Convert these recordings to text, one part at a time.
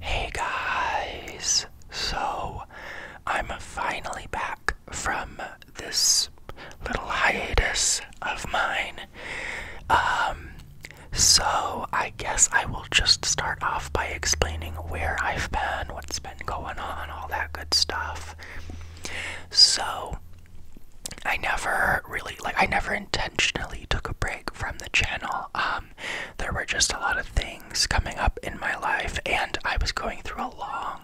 Hey guys! So, I'm finally back from this little hiatus of mine. Um, so I guess I will just start off by explaining where I've been, what's been going on, all that good stuff. So, I never really, like, I never intentionally took a break from the channel. Um, um, there were just a lot of things coming up in my life, and I was going through a long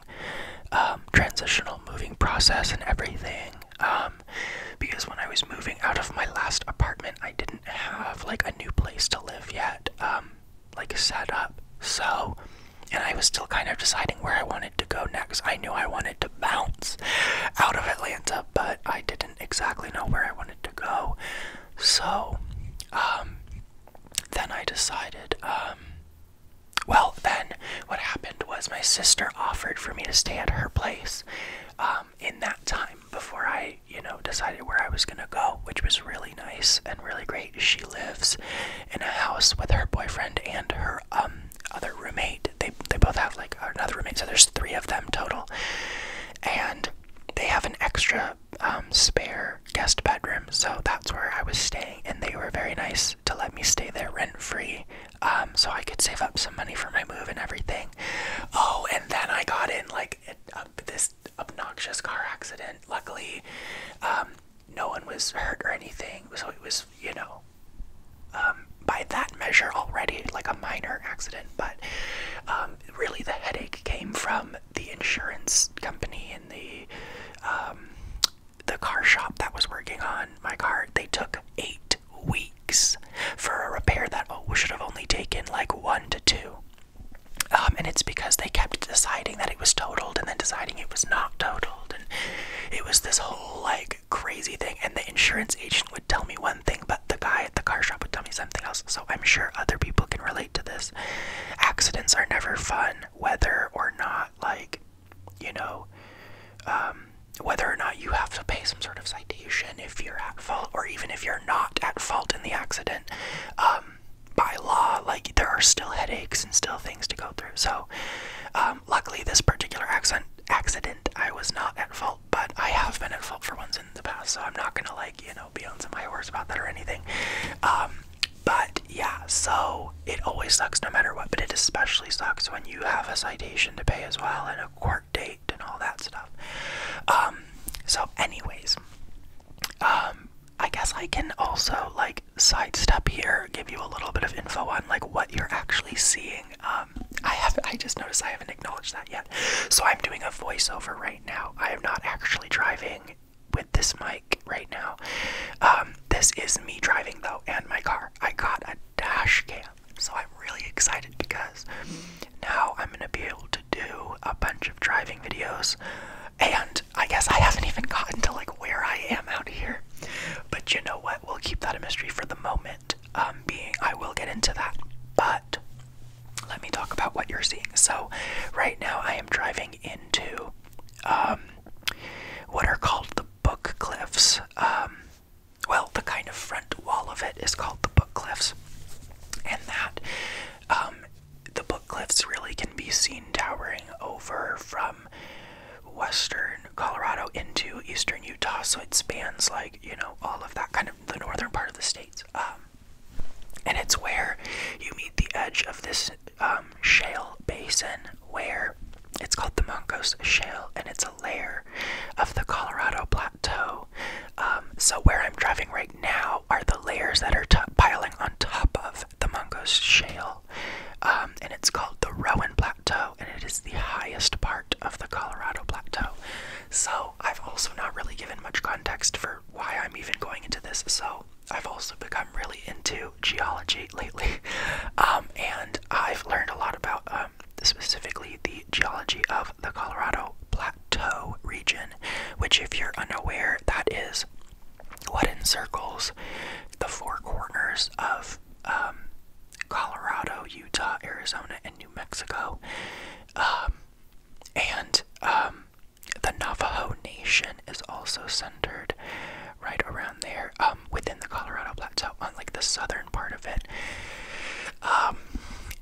um, transitional moving process and everything. Um, because when I was moving out of my last apartment, I didn't have like a new place to live yet, like set up. So, and I was still kind of deciding where I wanted to go next. I knew I wanted to bounce out of Atlanta, but I did not exactly know where I wanted to go. So, um, then I decided, um, well, then what happened was my sister offered for me to stay at her place um, in that time before I, you know, decided where I was gonna go, which was really nice and really great. She lives in a house with her boyfriend and her other roommate. They, they both have like another roommate, so there's three of them total. And they have an extra um, spare guest bedroom, so that's where I was staying, and they were very nice to let me stay there rent free, um, so I could save up some money for my move and everything. Oh, and then I got in like this obnoxious car accident. Luckily, um, no one was hurt or anything, so it was you know. by that measure already like a minor accident but um, really the headache came from the insurance company and the um, the car shop that was working on my car. They took eight weeks for a repair that should have only taken like one to two. Um, and it's because they kept deciding that it was totaled and then deciding it was not totaled. And it was this whole like crazy thing. And the insurance agent would tell me one thing, but the guy at the car shop would tell me something else. So I'm sure other people can relate to this. Accidents are never fun, whether or not, like, you know, um, whether or not you have to pay some sort of citation if you're at fault, or even if you're not at fault in the accident. Um, by law, like, there are still headaches and still things to go through. So, um, luckily, this particular accident, accident, I was not at fault but I have been in fault for ones in the past, so I'm not gonna like you know be on some high horse about that or anything. Um, but yeah, so it always sucks no matter what, but it especially sucks when you have a citation to pay as well and a court date and all that stuff. Um, so anyways, um, I guess I can also like sidestep here, give you a little bit of info on like what you're actually seeing. I have I just noticed I haven't acknowledged that yet. So I'm doing a voiceover right now. I am not actually driving with this mic right now. Um, this is me driving though, and my car. I got a dash cam, so I'm really excited because now I'm gonna be able to do a bunch of driving videos. And I guess I haven't even gotten to like where I am out here. But you know what? We'll keep that a mystery for the moment. Um, being. I will get into that, but let me talk about what you're seeing. So, right now I am driving into um, what are called the book cliffs. Um, well, the kind of front wall of it is called the book cliffs, and that the book cliffs really can be seen towering over from western Colorado into eastern Utah. So it spans like you know all of that kind of the northern part of the states um, and it's where you meet the edge of this um, shale basin where it's called the Moncos Shale and it's a layer of the Colorado Plateau. Um, so, where I'm driving right now are the layers that are piling on top of the Moncos Shale and it's called the Rowan Plateau and it is the highest part of the Colorado Plateau. So, I've also not really given much context for why I'm even going into this. So, I've also become really into geology lately, um, and I've learned a lot about um, specifically the geology of the Colorado Plateau region, which, if you're unaware, that is what encircles the four corners of um, Colorado, Utah, Arizona, and New Mexico. And um, the Navajo Nation is also centered right around there um, within the Colorado Plateau on like the southern part of it. Um,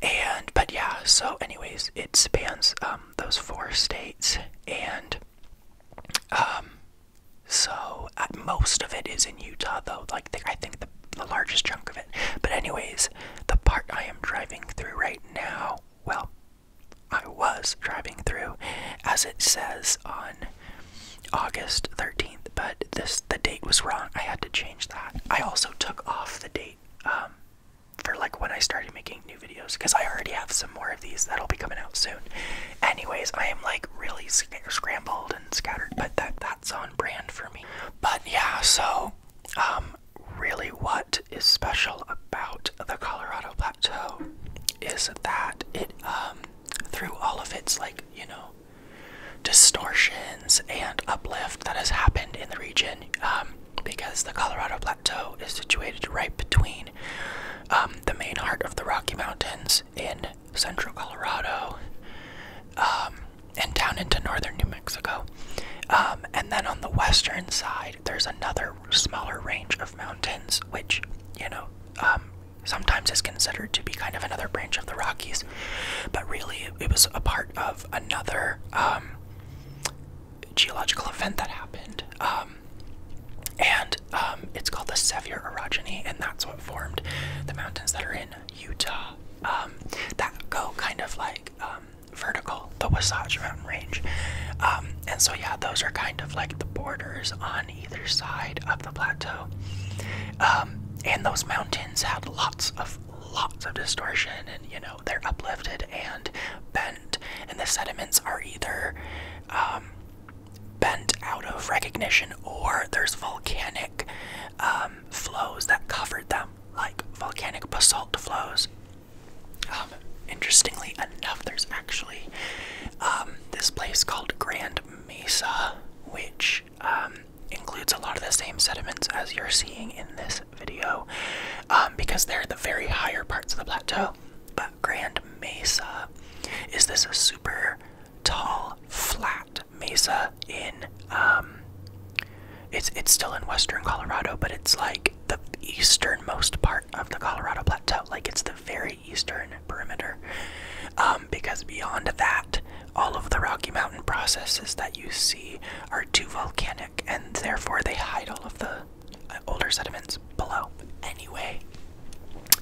and but yeah, so anyways, it spans those four states and so uh, most of it is in Utah though. Like I think the the, largest chunk of it. But, anyways, the part I am driving through right now, well, I was driving through, as it says on August 13th, but this the date was wrong. I had to change that. I also took off the date um, for like when I started making new videos because I already have some more of these that'll be coming out soon. Anyways, I am like really scrambled and scattered, but that that's on brand for me. But yeah, so um, really what is special about the Colorado Plateau is that it um, through all of its like, you know, distortions and uplift that has happened in the region um, because the Colorado Plateau is situated right between um, the main heart of the Rocky Mountains in central Colorado and down into northern New Mexico. Um, and then on the western side, there's another smaller range of mountains, which, you know, um, sometimes is considered to be kind of another branch of the Rockies. But really, it was a part of another um, geological event that happened. and it's called the Sevier Orogeny, and that's what formed the mountains that are in Utah that go kind of like vertical, the Wasatch Mountain Range. Um, and so, yeah, those are kind of like the borders on either side of the plateau. Um, and those mountains have lots of lots of distortion, and you know, they're uplifted and bent, and the sediments are either um, bent out of recognition or there's volcanic um, flows that covered them, like volcanic basalt flows. Um, interestingly enough, there's actually um, this place called Grand Mesa, which includes a lot of the same sediments as you're seeing in this video, because they're the very higher parts of the plateau. But Grand Mesa is this super tall, flat mesa in it's it's still in western Colorado, but it's like the easternmost part of the Colorado Plateau. Like it's the very eastern perimeter. Um, because beyond that, all of the Rocky Mountain processes that you see are too volcanic, and therefore they hide all of the uh, older sediments below. Anyway,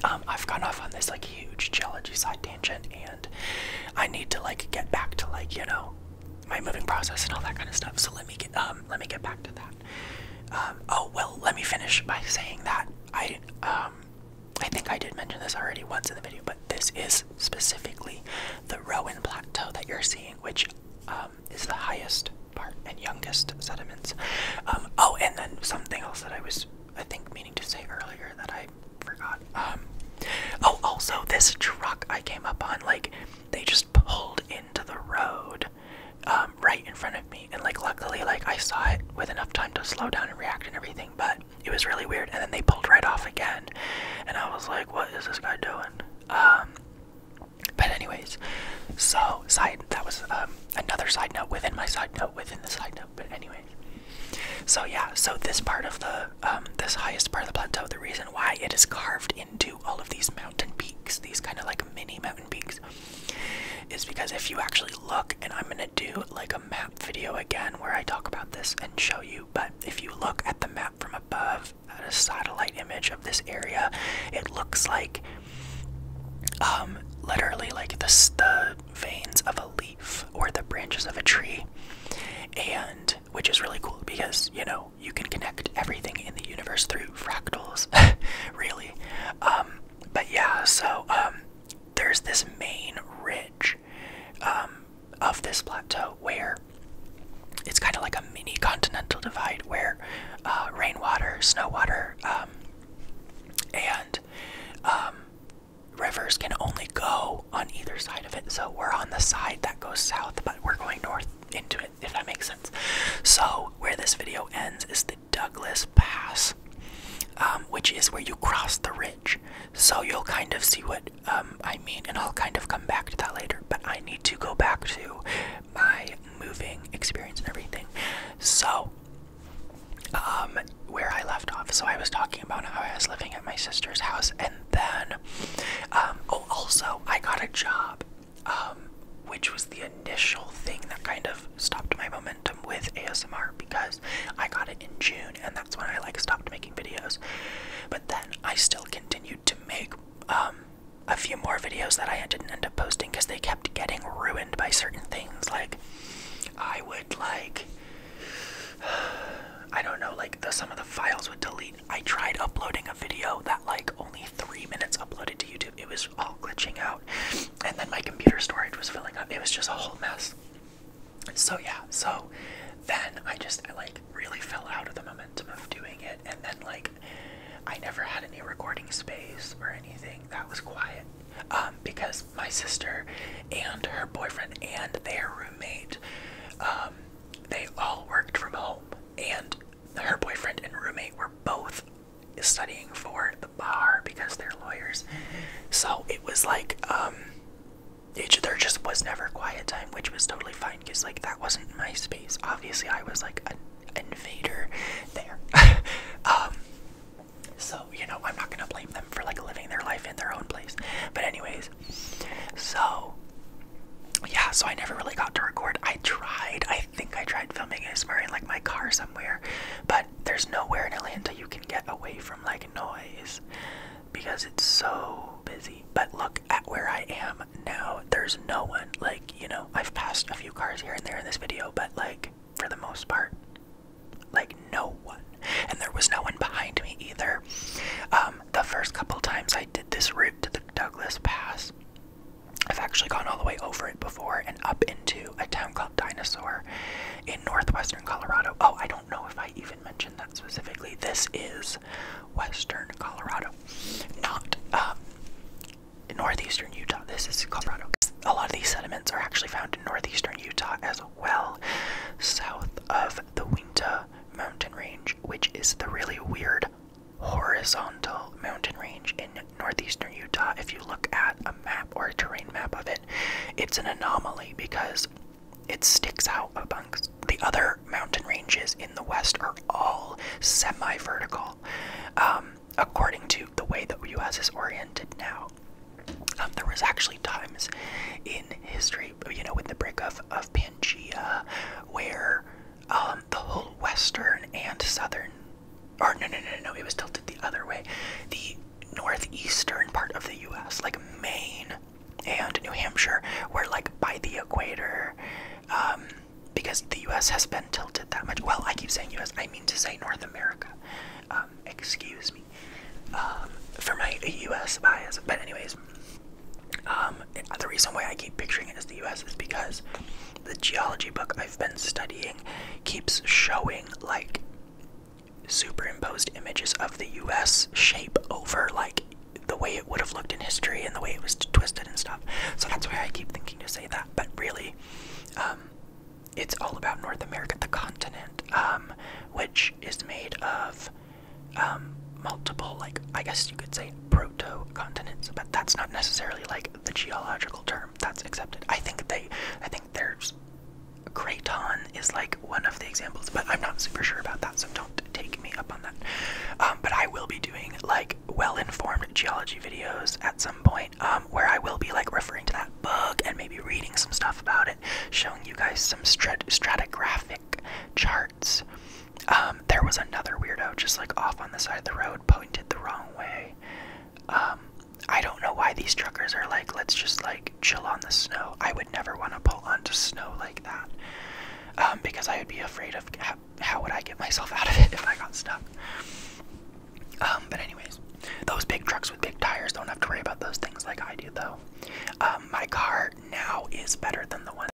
um, I've gone off on this like huge geology side tangent, and I need to like get back to like you know my moving process and all that kind of stuff. So let me get um let me get back to that. Um, oh well, let me finish by saying that I um I think I did mention this already once in the video, but this is specifically the Rowan Plateau that you're seeing, which um, is the highest part and youngest sediments. Um, oh, and then something else that I was I think meaning to say earlier that I forgot um, oh, also this truck I came up on, like they just pulled into the road um, right in front of me, and like luckily, like I saw it with enough time to slow down and react and everything, but it was really weird. And then they pulled right off again, and I was like, "What is this guy doing?" Um, but anyways, so side that was another side note within my side note within the side note. But anyways, so yeah, so this part of the um, this highest part of the plateau, the reason why it is carved into all of these mountain peaks, these kind of like mini mountain peaks, is because if you actually look, and I'm gonna do like a map video again where I talk about this and show you, but if you look at the map from above, at a satellite image of this area, it looks like um, literally like the, the veins of a leaf or the branches of a tree. And which is really cool because, you know, you can connect everything in the universe through fractals, really. Um, but yeah, so um, there's this main ridge um, of this plateau where it's kind of like a mini continental divide where uh, rainwater, snowwater, um, and um, rivers can only go on either side of it. So we're on the side that goes south, but we're going north into it, if that makes sense. So where this video ends is the Douglas Pass, um, which is where you cross the ridge. So you'll kind of see what um, I mean, and I'll kind of come back to that later. But I need to go back to my moving experience and everything. So, um, where I left off, so I was talking about how I was living at my sister's house, and then. Um, oh, also, I got a job, um, which was the initial thing that kind of stopped my momentum with ASMR because I got it in June, and that's when I like stopped making videos. But then I still continued to make um, a few more videos that I didn't end up posting because they kept getting ruined by certain things. Like, I would like. I don't know, like the, some of the files would delete I tried uploading a video that like only three minutes uploaded to YouTube. It was all glitching out, and then my computer storage was filling up. It was just a whole mess. So yeah, so then I just like really fell out of the momentum of doing it, and then like I never had any recording space or anything that was quiet. Um, because my sister and her boyfriend and their roommate um, they all worked from home, and her boyfriend and roommate were both studying for the bar because they're lawyers. So it was like, um, there just was never quiet time, which was totally fine because, like, that wasn't my space. Obviously, I was like an invader there. Um, so, you know, I'm not gonna blame them for like living their life in their own place. But, anyways, so, yeah, so I never really got to record. I tried, I think I tried filming ASMR in like my car somewhere, but there's nowhere in Atlanta you can get away from like noise because it's so busy. But look at where I am now. There's no one. Like, you know, I've passed a few cars here and there in this video, but like, for the most part, like no one. And there was no one behind me either. Um, the first couple times I. I did this route to the Douglas Pass. I've actually gone all the way over it before and up into a town called Dinosaur in northwestern Colorado. Oh, I don't know if I even mentioned that specifically. This is western Colorado, not um, northeastern Utah. This is Colorado. A lot of these sediments are actually found in northeastern Utah as well, south of the Uinta Mountain Range which is the really weird horizontal mountain range in northeastern Utah. If you look at a map or a terrain map of it, it's an anomaly because it sticks out amongst the other mountain ranges in the west are all semi-vertical, um, according to the way the U.S. is oriented now. Um, there was actually times in history, you know, with the breakup of, of where um, the whole western and southern, or no, no, no, no, it was tilted the other way. The northeastern part of the U.S., like Maine and New Hampshire, were like by the equator, um, because the U.S. has been tilted that much. Well, I keep saying U.S., I mean to say North America. Um, excuse me for my U.S. bias, but anyways, um, the reason why I keep picturing it as the US is because the geology book I've been studying keeps showing like superimposed images of the US shape over like the way it would have looked in history and the way it was twisted and stuff. So that's why I keep thinking to say that. But really, um, it's all about North America, the continent, um, which is made of um, multiple, like, I guess you could say proto continents, but that's not necessarily like the geological term that's accepted. I think they, I think there's Craton is like one of the examples, but I'm not super sure about that, so don't take me up on that. Um, but I will be doing like well informed geology videos at some point um, where I will be like referring to that book and maybe reading some stuff about it, showing you guys some stratigraphic charts um, there was another weirdo just like off on the side of the road, pointed the wrong way. Um, I don't know why these truckers are like, let's just like chill on the snow. I would never want to pull onto snow like that um, because I would be afraid of how, would I get myself out of it if I got stuck. but anyways, those big trucks with big tires don't have to worry about those things like I do though. my car now is better than the one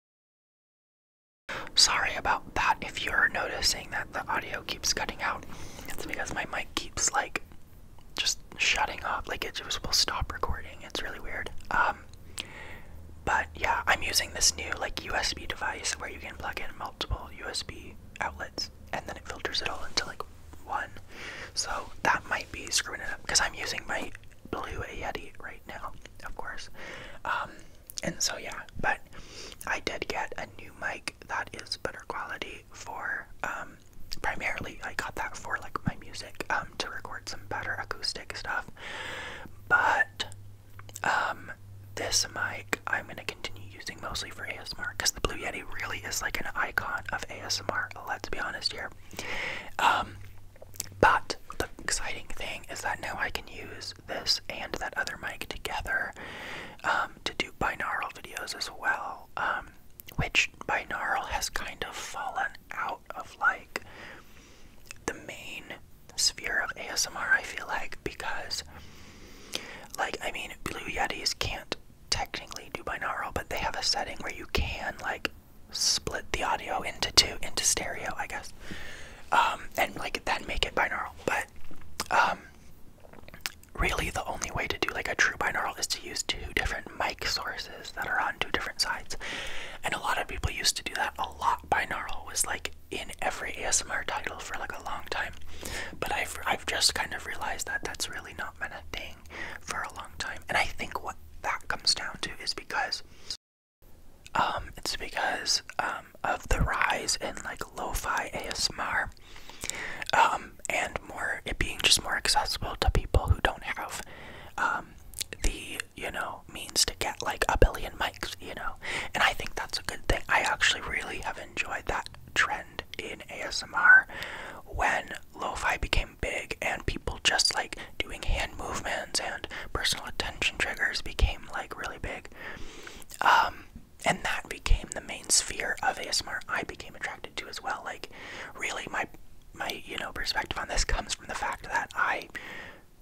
Sorry about that if you're noticing that the audio keeps cutting out. It's because my mic keeps like just shutting off, like it just will stop recording. It's really weird. Um but yeah, I'm using this new like USB device where you can plug in multiple USB outlets and then it filters it all into like one. So that might be screwing it up because I'm using my blue Yeti right now, of course. Um, and so yeah, but I did get a new mic that is better quality for um, primarily I got that for like my music um, to record some better acoustic stuff. But this mic I'm gonna continue using mostly for ASMR because the Blue Yeti really is like an icon of ASMR. Let's be honest here. But the exciting thing is that now I can use this and that other mic together um, to do binaural videos as well, um, which binaural has kind of fallen out of like the main sphere of ASMR, I feel like, because, like, I mean, Blue Yetis can't technically do binaural, but they have a setting where you can, like, split the audio into two into stereo i guess um, and like then make it binaural but um, really the only way to do like a true binaural is to use two different mic sources that are on two different sides and a lot of people used to do that a lot binaural was like in every asmr title for like a long time but i've i've just kind of realized that that's really not been a thing for a long time and i think what that comes down to is because um, it's because um, of the rise in like lo-fi ASMR, um, and more it being just more accessible to people who don't have the you know means to get like a billion mics, you know. And I think that's a good thing. I actually really have enjoyed that trend in ASMR when lo-fi became big and people just like doing hand movements and personal attention triggers became like really big. Um, and that became the main sphere of ASMR I became attracted to as well. Like, really, my my you know perspective on this comes from the fact that I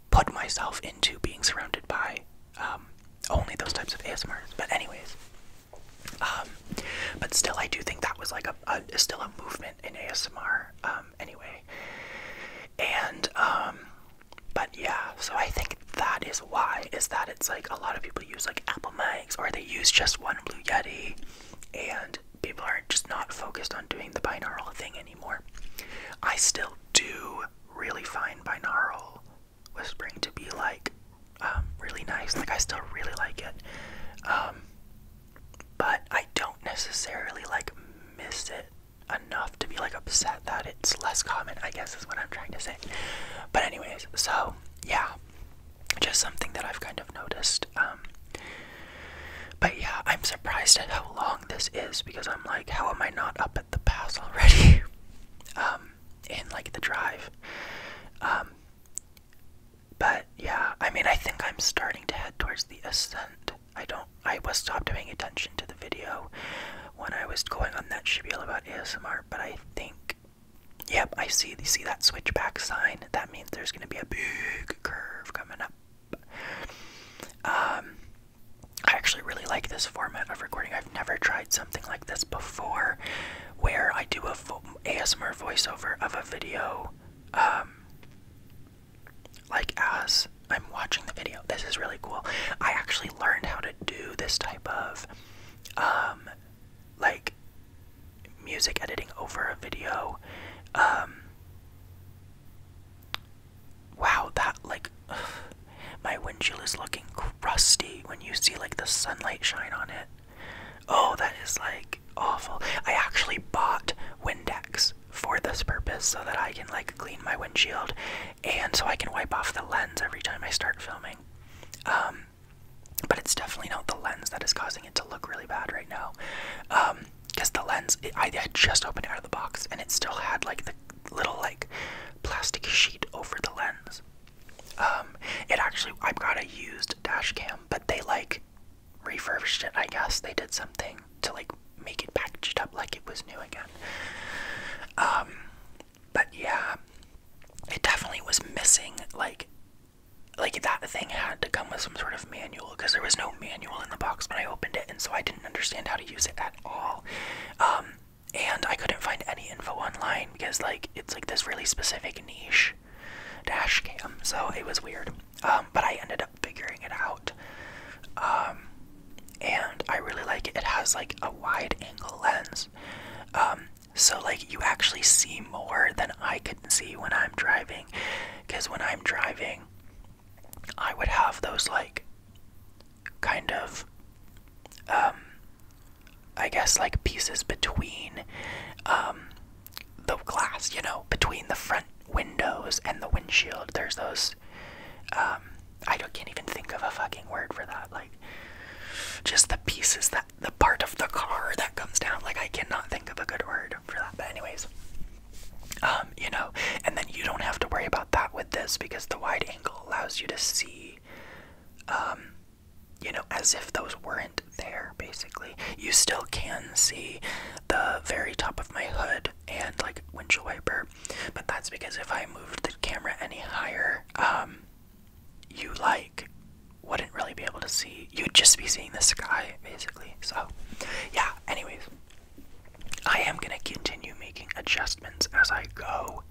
put myself into being surrounded by um, only those types of ASMRs. But anyways, um, but still, I do think that was like a, a still a movement in ASMR um, anyway. And um, but yeah, so I think that is why is that it's like a lot of people use like Apple Mags or they use just one Blue Yeti, and people are just not focused on doing the binaural thing anymore. I still do really find binaural whispering to be like um, really nice. Like I still really like it, but I don't necessarily like miss it enough to be like upset that it's less common, I guess is what I'm trying to say. But, anyways, so yeah, just something that I've kind of noticed. Um, but yeah, I'm surprised at how long this is because I'm like, how am I not up at the pass already? um, in like the drive. Um, but yeah, I mean, I think I'm starting to head towards the ascent. I don't. I was stopped paying attention to the video when I was going on that spiel about ASMR, but I think, yep, I see. You see that switchback sign? That means there's going to be a big curve coming up. Um, I actually really like this format of recording. I've never tried something like this before, where I do a ASMR voiceover of a video. Um, like as I'm watching the video. This is really cool. I actually learned how to do this type of um like music editing over a video. Um Wow, that like my windshield is looking crusty when you see like the sunlight shine on it. Oh, that is like awful. I actually bought Windex for this purpose so that I can like clean my windshield and so I can wipe off the lens every time I start filming. Um, but it's definitely not the lens that is causing it to look really bad right now. Because um, the lens, it, I had just opened it out of the box and it still had like the little like plastic sheet over the lens. Um, it actually, I've got a used dash cam, but they like refurbished it, I guess. They did something to like make it packaged up like it was new again. Um, but yeah, it definitely was missing like like that thing had to come with some sort of manual because there was no manual in the box when I opened it, and so I didn't understand how to use it at all. Um, and I couldn't find any info online because like it's like this really specific niche dash cam, so it was weird. Um, but I ended up figuring it out. Um, and I really like it. It has like a wide angle lens. Um, so like you actually see more than I could see when I'm driving. Because when I'm driving, I would have those like kind of I guess like pieces between the glass, you know, between the front windows and the windshield. There's those. Um, I can't even think of a fucking word for that. Like, just the pieces that the part of the car that comes down. Like, I cannot think of a good word for that. But anyways, um, you know, and then you don't have to worry about that with this because the wide angle allows you to see, um, you know, as if those weren't there. Basically, you still can see the very top of my hood and like windshield wiper, but that's because if I moved the camera any higher, um, you like wouldn't really be able to see. You'd just be seeing the sky basically. So, yeah. Anyways, I am gonna continue making adjustments as I go,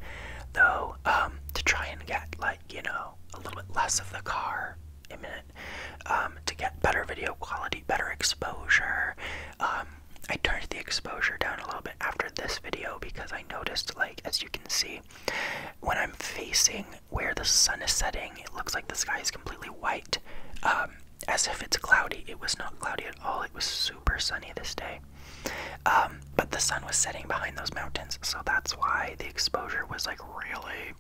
though, um, to try and get like you know a little bit less of the car imminent, um, to get better video quality, better exposure, um, I turned the exposure down a little bit after this video because I noticed, like, as you can see, when I'm facing where the sun is setting, it looks like the sky is completely white, um, as if it's cloudy. It was not cloudy at all, it was super sunny this day. Um, but the sun was setting behind those mountains, so that's why the exposure was, like, really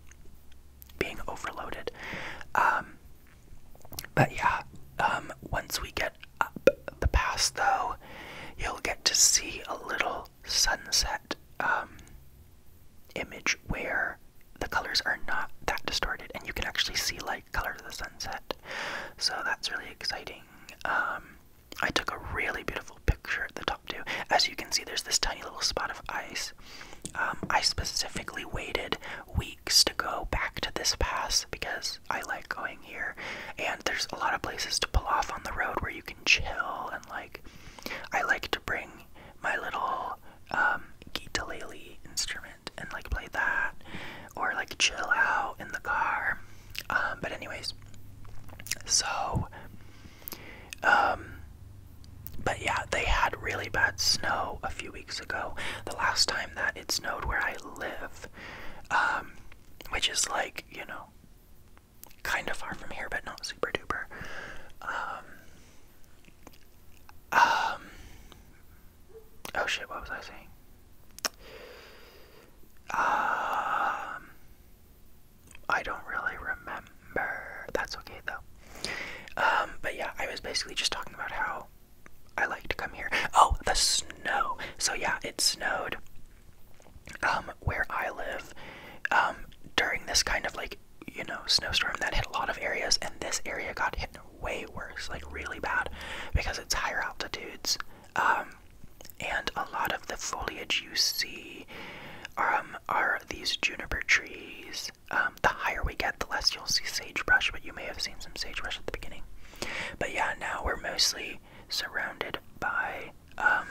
being overloaded. But yeah, um, once we get up the pass, though, you'll get to see a little sunset um, image where the colors are not that distorted, and you can actually see like color of the sunset. So that's really exciting. Um, I took a really beautiful picture at the top too. As you can see, there's this tiny little spot of ice, um, I specifically waited weeks to go back to this pass because I like going here, and there's a lot of places to pull off on the road where you can chill and like. I like to bring my little um, guitarlele instrument and like play that, or like chill out in the car. Um, but anyways, so. Um, but yeah, they had really bad snow a few weeks ago, the last time that it snowed where I live, um, which is like, you know, kind of far from here, but not super duper. Um, um, oh shit, what was I saying? I don't really remember. That's okay though. but yeah, I was basically just talking about how I like to come here. Oh, the snow. So yeah, it snowed um where I live um during this kind of like, you know, snowstorm that hit a lot of areas and this area got hit way worse, like really bad because it's higher altitudes. Um and a lot of the foliage you see um are these juniper trees um, the higher we get, the less you'll see sagebrush, but you may have seen some sagebrush at the beginning. But yeah, now we're mostly surrounded by um,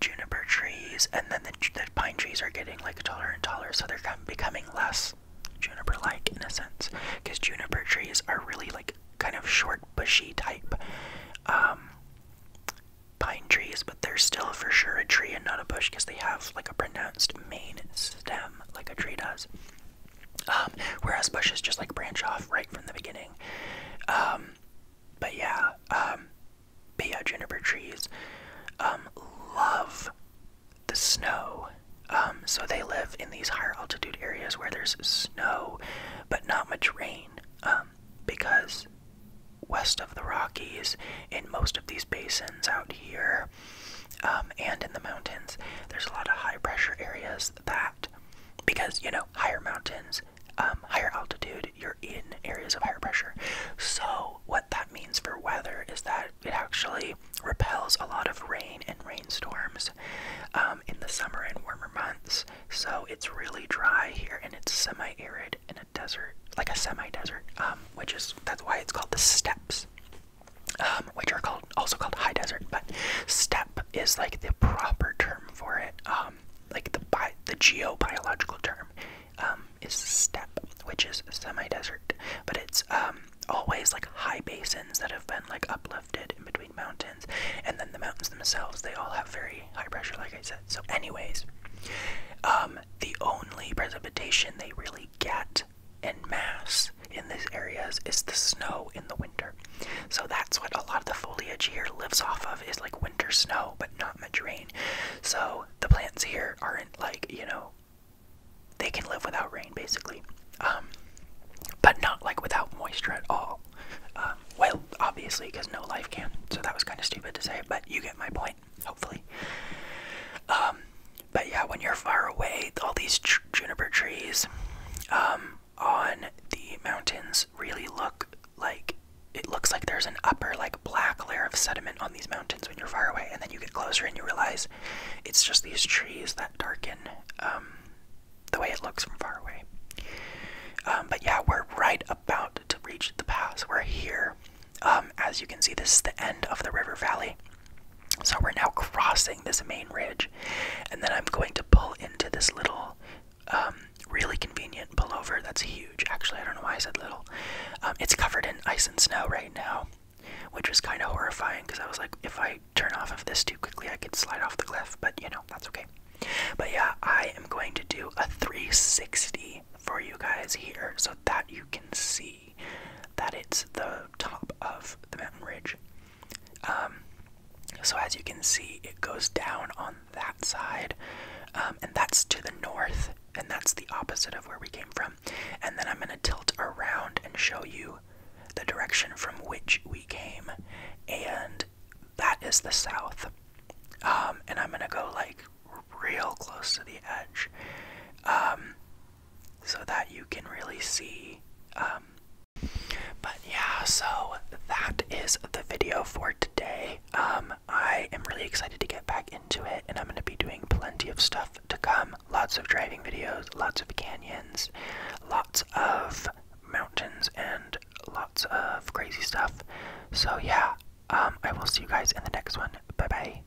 juniper trees, and then the, pine trees are getting like taller and taller, so they're becoming less juniper-like in a sense, because juniper trees are really like kind of short, bushy type um, pine trees, but they're still for sure a tree and not a bush because they have like a pronounced main stem like a tree does. Um, whereas bushes just like branch off right from the beginning. Um, but yeah, um, yeah, juniper trees love the snow. so they live in these higher altitude areas where there's snow, but not much rain, because west of the Rockies, in most of these basins out here, um, and in the mountains. There's a lot of high pressure areas that, because you know, higher mountains, um, higher altitude, you're in areas of higher pressure. So, what that means for weather is that it actually repels a lot of rain and rainstorms um, in the summer and warmer months. So, it's really dry here and it's semi arid in a desert, like a semi desert, which is that's why it's called the steppes. Um, which are called also called high desert, but step is like the proper term for it. Um, like the bi the geobiological term um, is step, which is semi-desert, but it's always like high basins that have been like uplifted in between mountains, and then the mountains themselves they all have very high pressure, like I said. So, anyways. the only precipitation they really get present mass in these areas is the snow in the winter. So that's what a lot of the foliage here lives off of is like winter snow, but not much rain. So the plants here aren't like, you know, they can live without rain basically. Um, but not like without moisture at all. Um, well, obviously, because no life can. So that was kind of stupid to say, but you get my point hopefully. Um, but yeah, when you're far away, all these juniper trees um, on the mountains really look like it looks like there's an upper, like black layer of sediment on these mountains when you're far away, and then you get closer and you realize it's just these trees that darken um, the way it looks from far away. but yeah, we're right about to reach the pass. We're here. Um, as you can see, this is the end of the river valley. So we're now crossing this main ridge, and then I'm going to pull into this little, um, really convenient pullover that's huge. Actually, I don't know why I said little. Um, it's covered in ice and snow right now, which is kind of horrifying because I was like, if I turn off of this too quickly, I could slide off the cliff, but you know, that's okay. But yeah, I am going to do a 360 for you guys here so that you can see that it's the top of the mountain ridge. Um, so as you can see, it goes down on that side, um, and that's to the north, and that's the opposite of where we came from. And then I'm going to tilt around and show you the direction from which we came, and that is the south. Um, and I'm going to go like real close to the edge so that you can really see. Um, but yeah, so that is the video for today. Um, I am really excited to get back into it, and I'm going to be doing plenty of stuff to come. Lots of driving videos, lots of canyons, lots of mountains, and lots of crazy stuff. So yeah, um, I will see you guys in the next one. Bye bye.